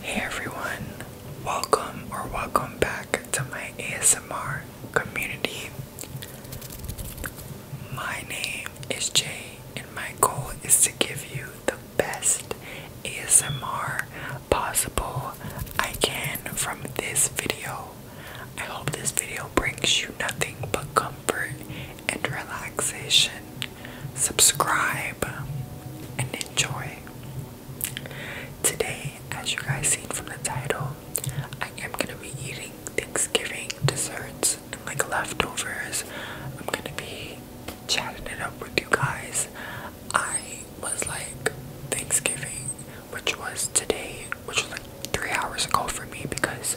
Hey everyone, welcome or welcome back to my ASMR community. My name is Jay, and my goal is to give you the best ASMR possible I can from this video. I hope this video brings you nothing but comfort and relaxation subscribe, and enjoy. Today, as you guys seen from the title, I am gonna be eating Thanksgiving desserts and like leftovers. I'm gonna be chatting it up with you guys. I was like Thanksgiving, which was today, which was like three hours ago for me because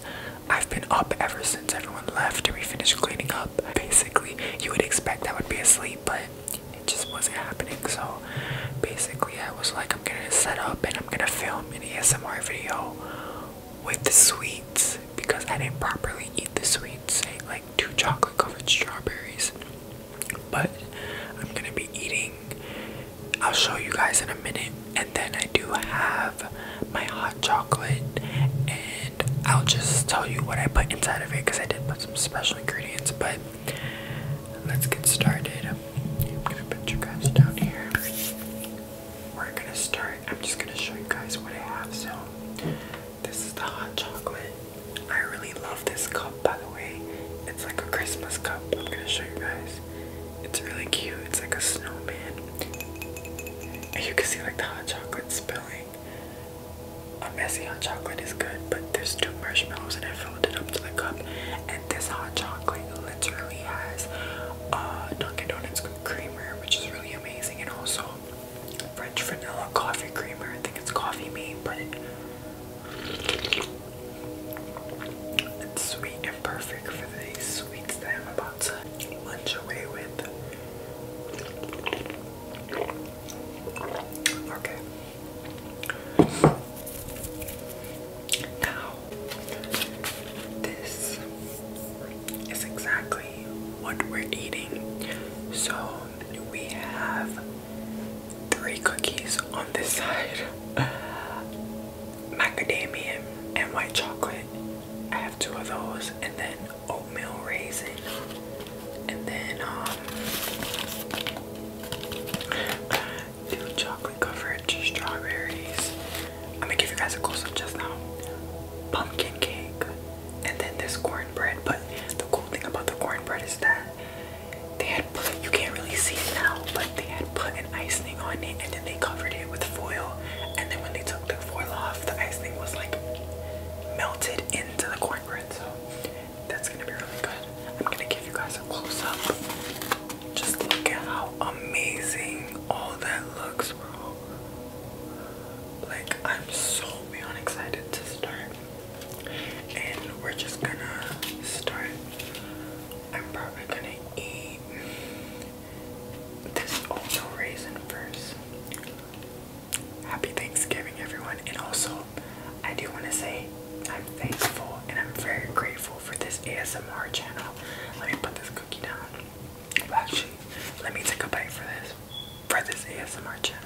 I've been up ever since everyone left and we finished cleaning up basically you would expect that would be asleep, but it just wasn't happening. So basically, I was like, I'm gonna set up and I'm gonna film an ASMR video with the sweets because I didn't properly eat the sweets. Eh, like two chocolate covered strawberries, but I'm gonna be eating. I'll show you guys in a minute, and then I do have my hot chocolate I'll just tell you what I put inside of it because I did put some special ingredients. But let's get started. I'm gonna put you guys down here. We're gonna start. I'm just gonna show you guys what I have. So, this is the hot chocolate. I really love this cup, by the way. It's like a Christmas cup. I'm gonna show you guys. It's really cute. It's like a snowman. And you can see like the hot chocolate spilling a messy hot chocolate is good, but there's two marshmallows and I filled it up to the cup. And this hot chocolate literally has uh, Dunkin' Donuts creamer, which is really amazing, and also French vanilla coffee creamer. I think it's coffee made, but it's sweet and perfect for the sweets that I'm about Lunch away with. Okay. Now, this is exactly what we're eating. So, we have three cookies on this side macadamia and white chocolate. I have two of those, and then oatmeal raisin, and then um, do chocolate covered strawberries. I'm gonna give you guys a close up just now. Pumpkin cake, and then this cornbread. But the cool thing about the cornbread is that they had put you can't really see it now, but they had put an icing on it, and then they covered it with foil and then when they took the foil off, the icing was like melted into the cornbread. So that's gonna be really good. I'm gonna give you guys a close up. Just look at how amazing all that looks, bro. Like, I'm so beyond excited to start. And we're just gonna start. I'm probably gonna eat there's also raisin first. Happy Thanksgiving, everyone. And also, I do want to say I'm thankful and I'm very grateful for this ASMR channel. Let me put this cookie down. actually, let me take a bite for this for this ASMR channel.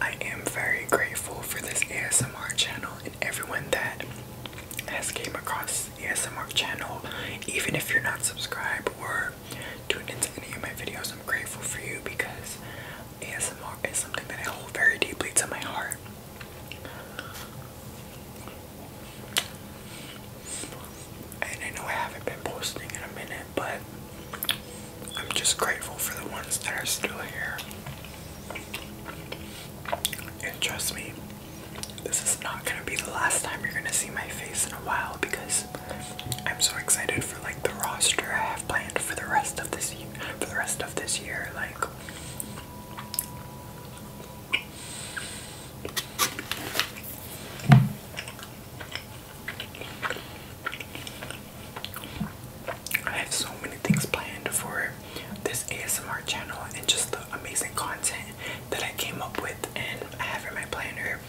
I am very grateful for this ASMR channel and everyone that has came across the ASMR channel. Even if you're not subscribed or tuned into any of my videos, I'm grateful for you because ASMR is something that I hold very deeply to my heart. I know I haven't been posting in a minute, but I'm just grateful for the ones that are still here. And trust me, this is not gonna be the last time you're gonna see my face in a while because I'm so excited for like the roster I have planned for the rest of this year for the rest of this year. Like I have so many things planned for this ASMR channel and just the amazing content that I came up with and I have in my planner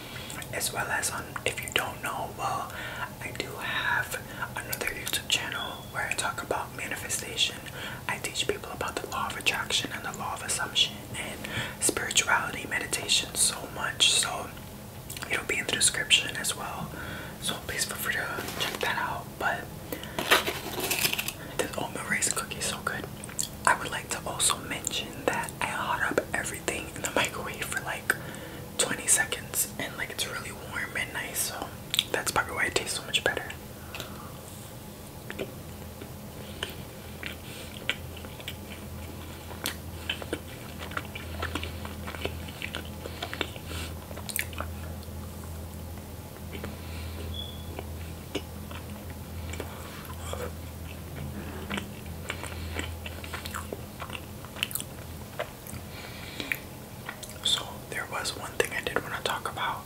as well as on if you don't know well I do have another YouTube channel where I talk about manifestation. I teach people about the law of attraction and the law of assumption and spirituality, meditation, so much. So it'll be in the description as well. So please feel free to check that out. But this oatmeal raisin cookie is so good. I would like to also mention that I hot up everything in the microwave for like 20 seconds and like it's really warm and nice so that's probably why it tastes so much better. So there was one thing I did want to talk about.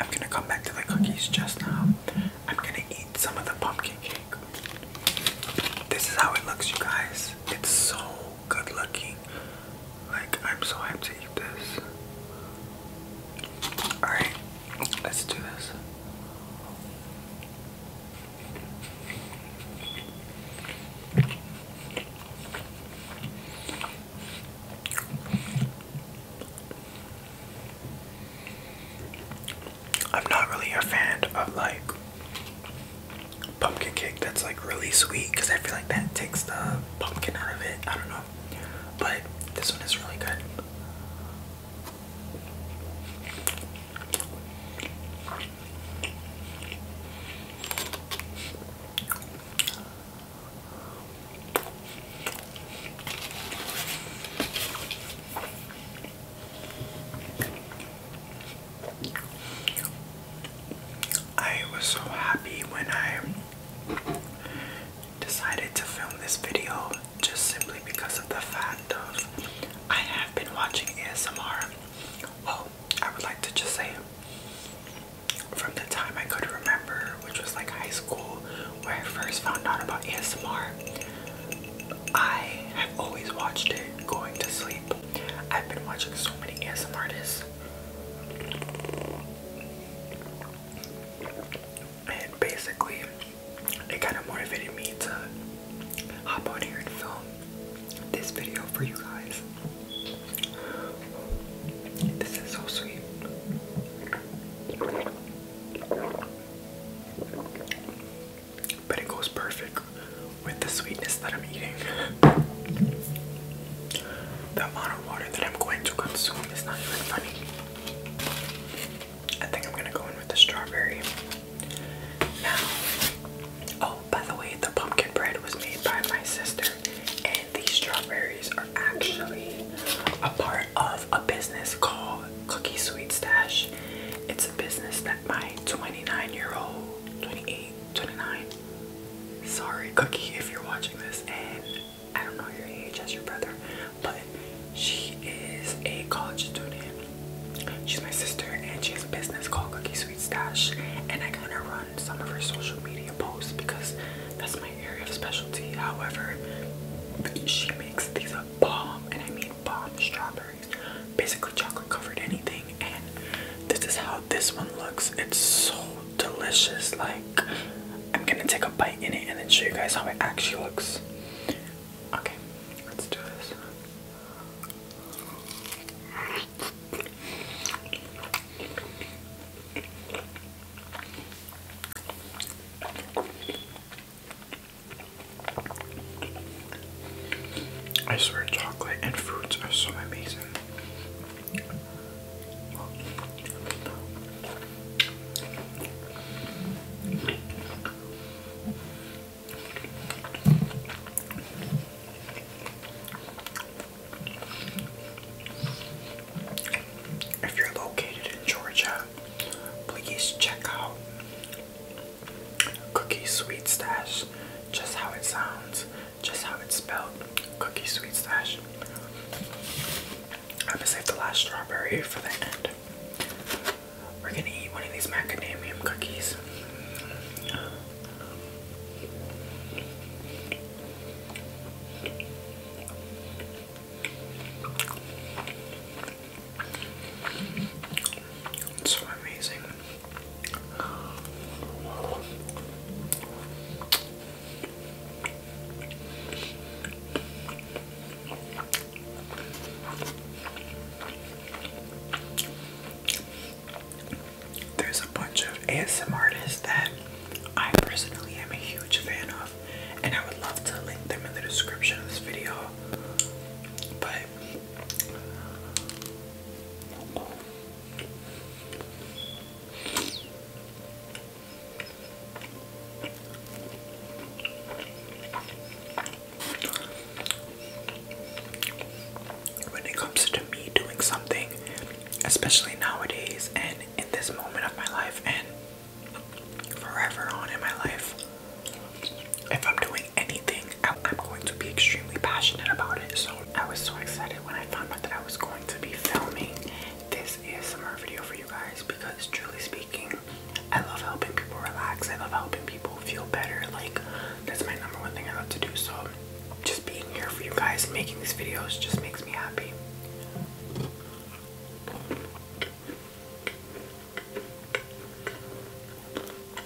I'm gonna come back to the cookies just now. I'm gonna eat some of the pumpkin cake. This is how it looks, you guys. It's so good looking. Like, I'm so happy to eat this. Alright, let's do this. I'm not really a fan of like pumpkin cake that's like really sweet because I feel like that takes the pumpkin out of it. I don't know. But this one is really good. I was so happy when I decided to film this video just simply because of the fact of I have been watching ASMR. Oh, I would like to just say from the time I could remember, which was like high school, where I first found out about ASMR, I have always watched it going to sleep. I've been watching so many ASMR artists and basically, it kind of motivated me to hop on here and film this video for you guys. This is so sweet. But it goes perfect with the sweetness that I'm eating. The amount of water that I'm going to consume is not even funny. I think I'm gonna go in with the strawberry. Now, oh, by the way, the pumpkin bread was made by my sister, and these strawberries are actually a part of a business called Cookie Sweet Stash. It's a business that my 29 year old, 28, 29 Sorry, Cookie, if you're watching this, and I don't know your age as your brother, but she is a college student. She's my sister, and she has a business called Cookie Sweet Stash, and I am gonna run some of her social media posts because that's my area of specialty. However, she makes these a bomb, and I mean bomb strawberries, basically chocolate covered anything this is how this one looks it's so delicious like i'm gonna take a bite in it and then show you guys how it actually looks okay let's do this I swear, chocolate and fruits are so amazing. If you're located in Georgia, please check out Cookie Sweet just how it sounds just how it's spelled cookie sweet stash. I'm gonna save the last strawberry for the end. We're gonna eat one of these macadamium cookies. so amazing. There's a bunch of ASM artists that I personally am a huge fan of, and I would love to link them in the description of this video. But when it comes to me doing something, especially nowadays and in this moment of my life and forever on in my life, if I'm doing anything, I'm going to be extremely passionate about it. So I was so excited when I found out that I was going to be filming this ASMR video for you guys because truly speaking, I love helping people relax. I love helping people feel better. Like that's my number one thing I love to do. So just being here for you guys, making these videos just makes me happy.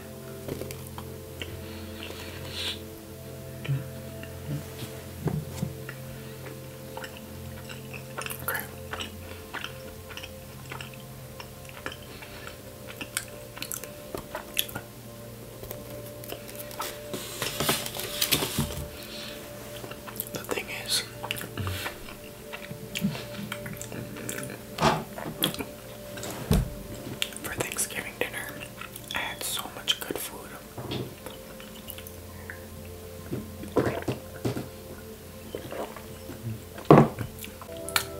Okay. The thing is, for Thanksgiving dinner. I had so much good food.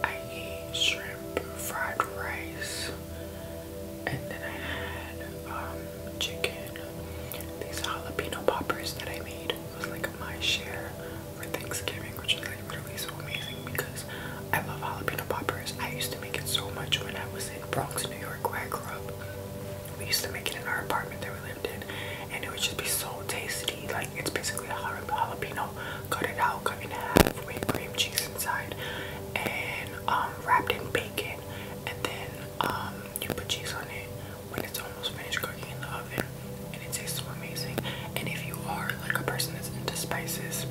I ate shrimp, fried rice, and then I had um, chicken. These jalapeno poppers that I made was like my share for Thanksgiving, which is like literally so amazing because I love jalapeno poppers. I used to make it so much when I was in Bronx, New York, where I grew up. We used to make it in our apartment that we lived in, and it would just be so tasty. Like it's basically a jalapeno, cut it out, cut in half with cream cheese inside, and um, wrapped in bacon, and then um, you put cheese on it when it's almost finished cooking in the oven, and it tastes amazing. And if you are like a person that's into spices,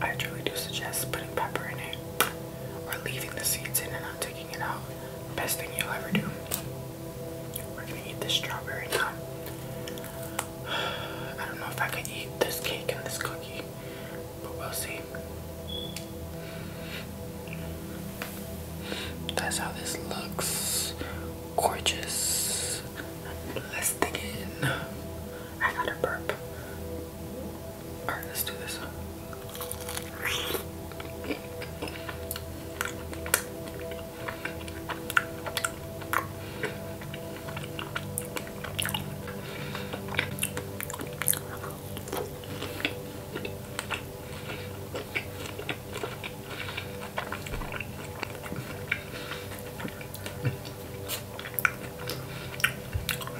I truly do suggest putting pepper in it or leaving the seeds in and not taking it out. Best thing you'll ever do. We're gonna eat this strawberry now. I don't know if I can eat this cake and this cookie, but we'll see. That's how this looks. Gorgeous is I gotta burp. Alright, let's do this. one.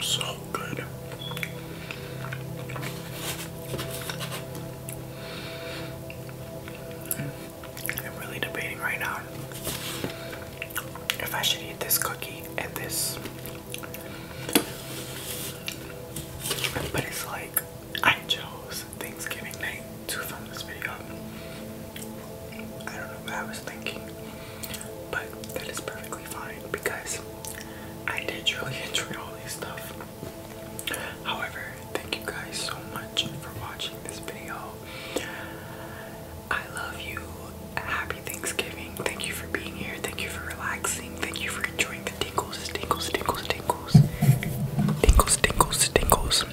So good. I'm really debating right now if I should eat this cookie and this. But it's like I chose was Thanksgiving night to film this video. I don't know what I was thinking, but that is perfectly fine because I did really enjoy all this stuff. However, thank you guys so much for watching this video. I love you. Happy Thanksgiving. Thank you for being here. Thank you for relaxing. Thank you for enjoying the tingles, tingles, tingles, tingles. Tingles, tingles, tingles.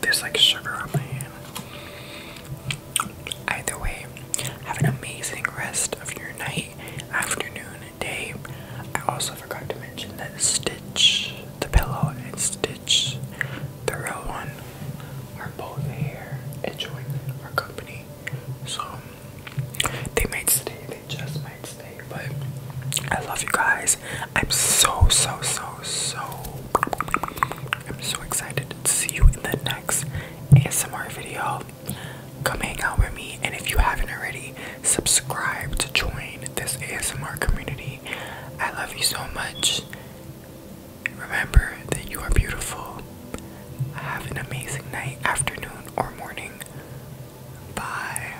There's like sugar on my hand. Either way, have an amazing rest of your night, afternoon, day. I also forgot to mention that Stitch, the pillow, and Stitch, the real one, are both here enjoying our company. So they might stay, they just might stay but I love you guys. I'm so, so, so, so, I'm so excited to see you in the next ASMR video. Come hang out with me, and if you haven't already, subscribe to join this ASMR community. I love you so much. Remember that you are beautiful. Have an amazing night, afternoon, or morning. Bye.